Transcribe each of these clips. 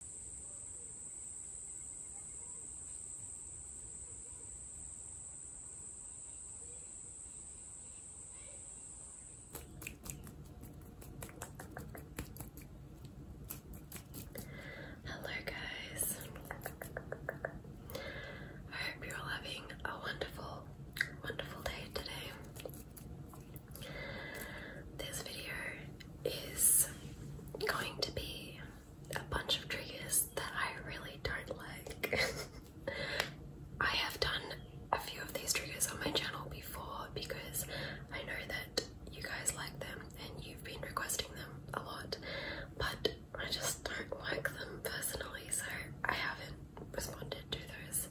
Hello, guys. I hope you're all having a wonderful, wonderful day today. This video is going to be a bunch of triggers that I really don't like. I have done a few of these triggers on my channel before because I know that you guys like them and you've been requesting them a lot, but I just don't like them personally, so I haven't responded to those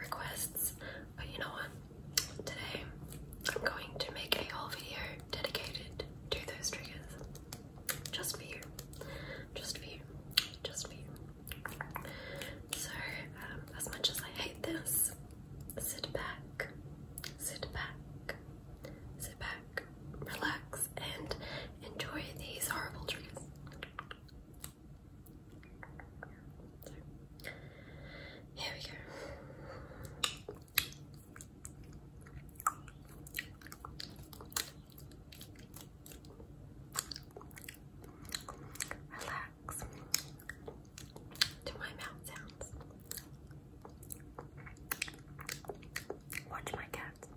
requests. But you know what? Today, I'm going to make a whole video dedicated to those triggers. Just for you. Just for you. Just for you. So, um, as much as I hate this, sit back, sit back, sit back, relax, and enjoy these horrible triggers here we go. Relax to my mouth sounds. Watch my cats.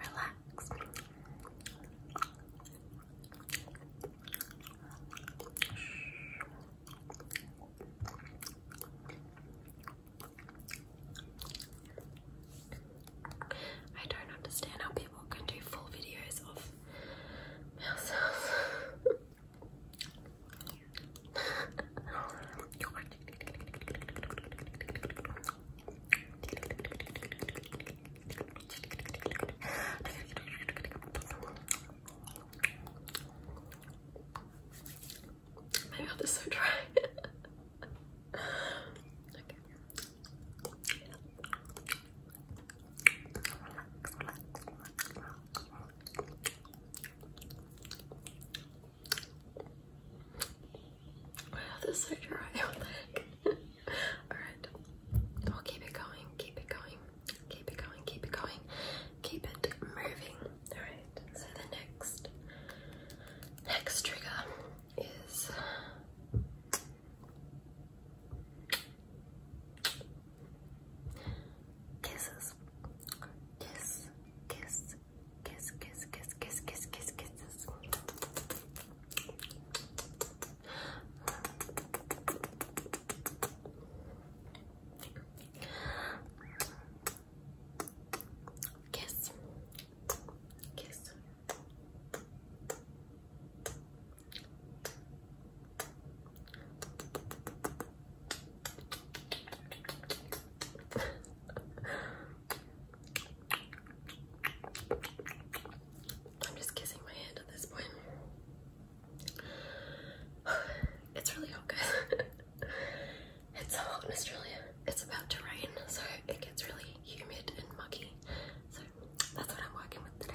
Relax. I don't understand how people can do full videos of themselves. My mouth is so dry. okay. Relax, relax, relax, relax. Wow, this is so dry. What the heck? Alright. We'll keep it going, keep it going, keep it going, keep it going, keep it moving. Alright, so the next next trigger is Kisses. Kiss, kiss, kiss, kiss, kiss, kiss, kiss, kiss, kisses. Kiss, kiss. I'm just kissing my hand at this point. It's really hot, it's hot in Australia. It's about to rain, so it gets really humid and muggy. So that's what I'm working with today.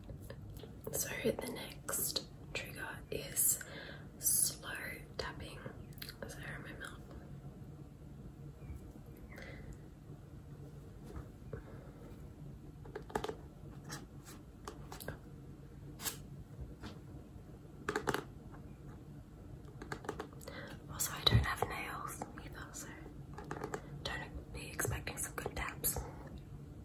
So the next trigger is slow tapping. So remember. Also, I don't have nails either, so don't be expecting some good taps.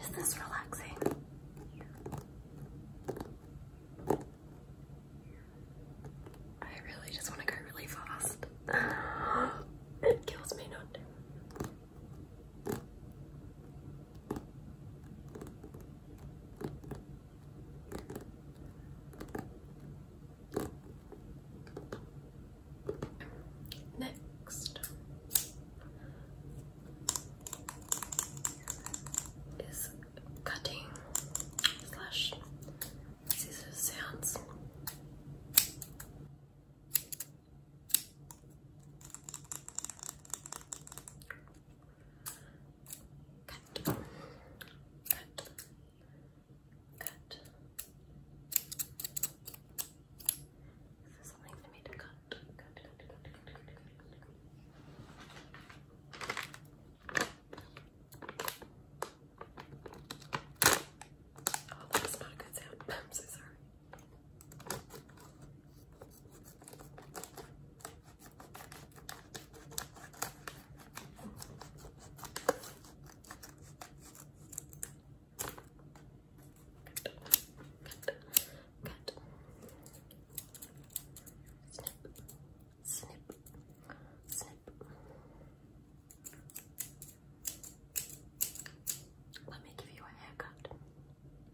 is this relaxing? I really just want to go really fast. it kills me not to. Next is cutting slash scissors sounds. Cut. Cut. Cut. This is something for me to cut. Cut, cut, cut, not a good sound. I'm so sorry. Snip, snip. Let me give you a haircut.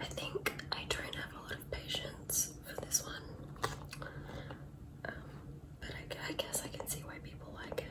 I think I don't have a lot of patience for this one, um, but I guess I can see why people like it.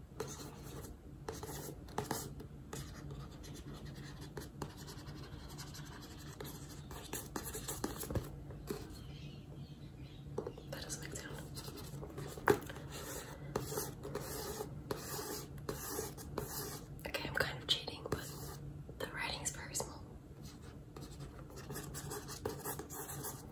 That doesn't make sound. Okay, I'm kind of cheating, but the writing is very small.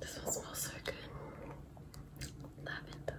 This one smells so good. Lavender.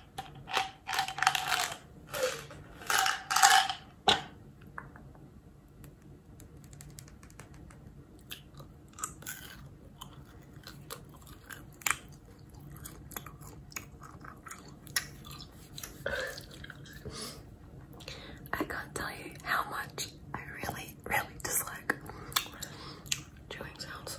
I can't tell you how much I really, really dislike chewing sounds.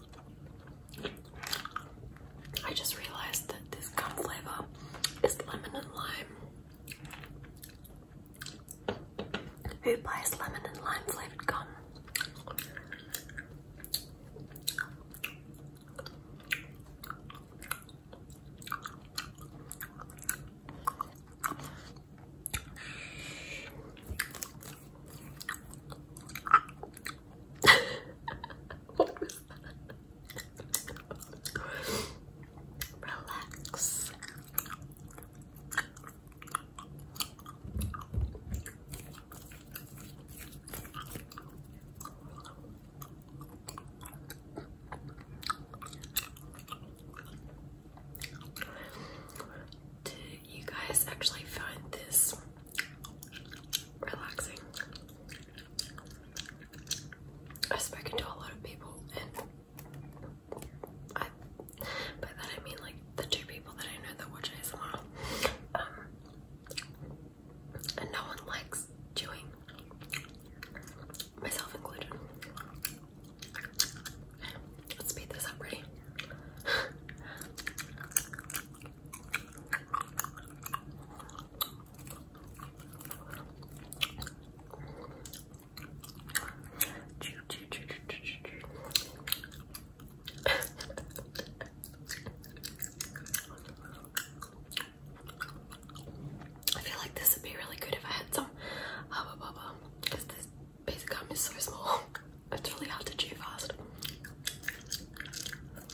I just realized that this gum flavor is lemon and lime. Who buys lemon and lime flavored gum? Relax. Do you guys actually find this relaxing. I've spoken to a lot of people, and I, by that I mean like the two people that I know that watch ASMR, um, and no one likes chewing, myself included. Let's speed this up, ready? Chew, chew, chew, chew, chew, chew. I feel like this would be really good if I had some because this piece of gum is so small. It's really hard to chew fast. Relax,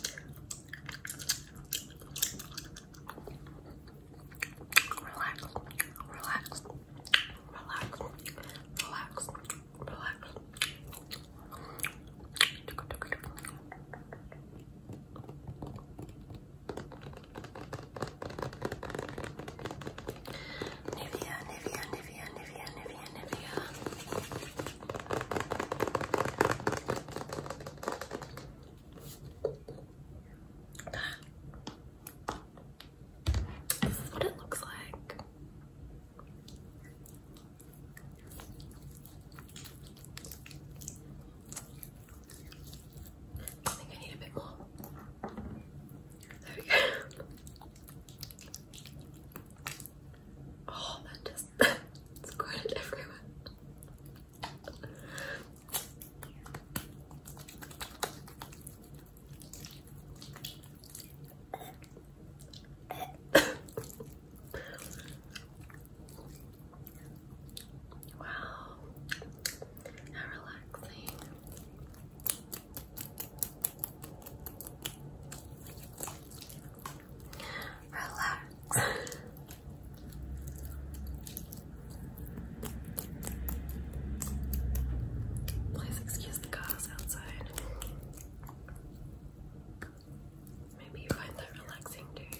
relax, relax, relax, relax. Nivea, Nivea, Nivea, Nivea, Nivea, Nivea. This is what it looks like. I think I need a bit more. There we go. Oh, that just squirted everywhere. wow, how relaxing. Relax. Please excuse the cars outside. Maybe you find that relaxing too.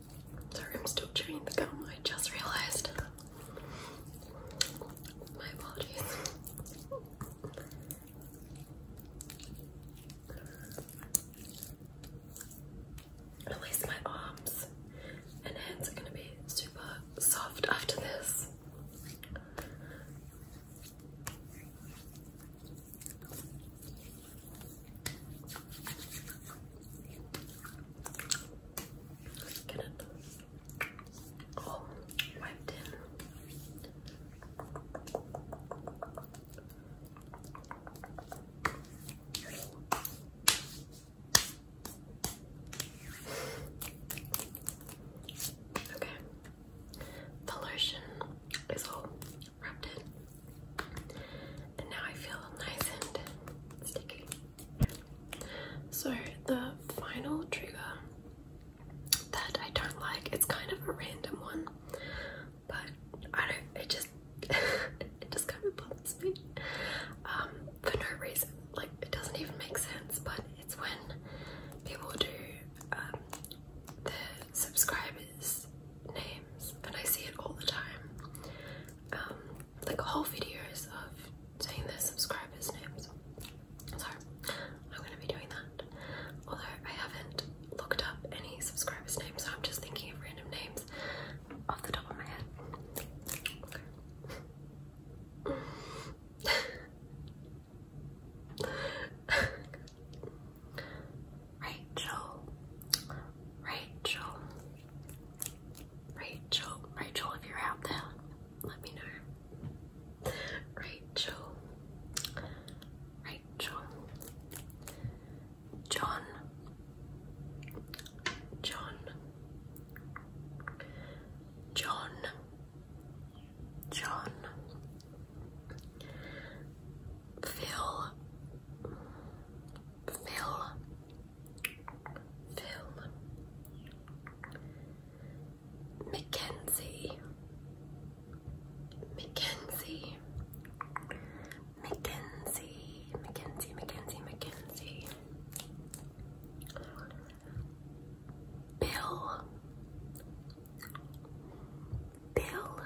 Sorry, I'm still chewing the gum. I just realized. My apologies. At my arms and hands are going to be super soft after this. Get it all oh, wiped in. Okay, the lotion is all wrapped in. And now I feel nice and sticky. So the final trigger that I don't like, it's kind of a random one, but I don't, it just, it just kind of bothers me um, for no reason. Like it doesn't even make sense, but it's when people do um, their subscribers' names and I see it all the time um, like whole videos of saying their subscribers' names. So I'm going to be doing that. Although I haven't looked up any subscribers' names, so I'm just thinking of random names off the top of my head. Rachel, Rachel, Rachel, Rachel, if you're out there, let me know. Rachel, Rachel, John, John, John, John, Phil. Fill. Phil. Mackenzie. Mackenzie. Mackenzie. Mackenzie. Mackenzie. Mackenzie. Bill. Bill.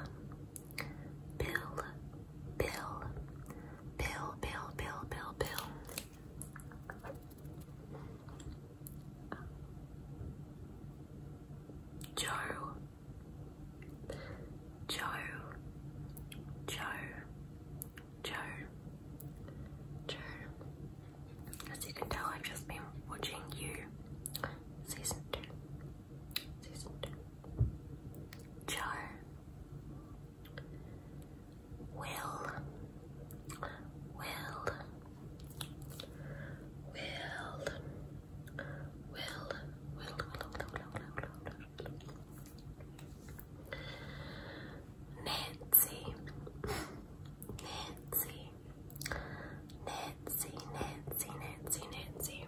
Bill. Bill, Bill, Bill, Bill, Bill, Bill. Joe, Joe, Joe, Joe, Joe. As you can tell, I've just been watching you, season two. Süßgut. Jar. Will. Will. Will. Will. Will. Nancy. Nancy. Nancy. Nancy. Nancy. Nancy.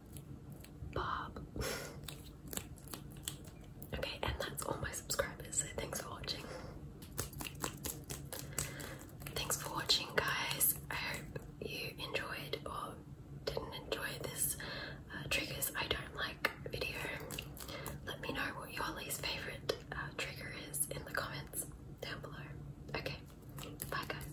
Bob. okay, and that's all my subscribers, thanks for watching. Thanks for watching, guys. I hope you enjoyed or didn't enjoy this uh, triggers I don't like video. Let me know what your least favorite uh, trigger is in the comments down below. Okay, bye, guys.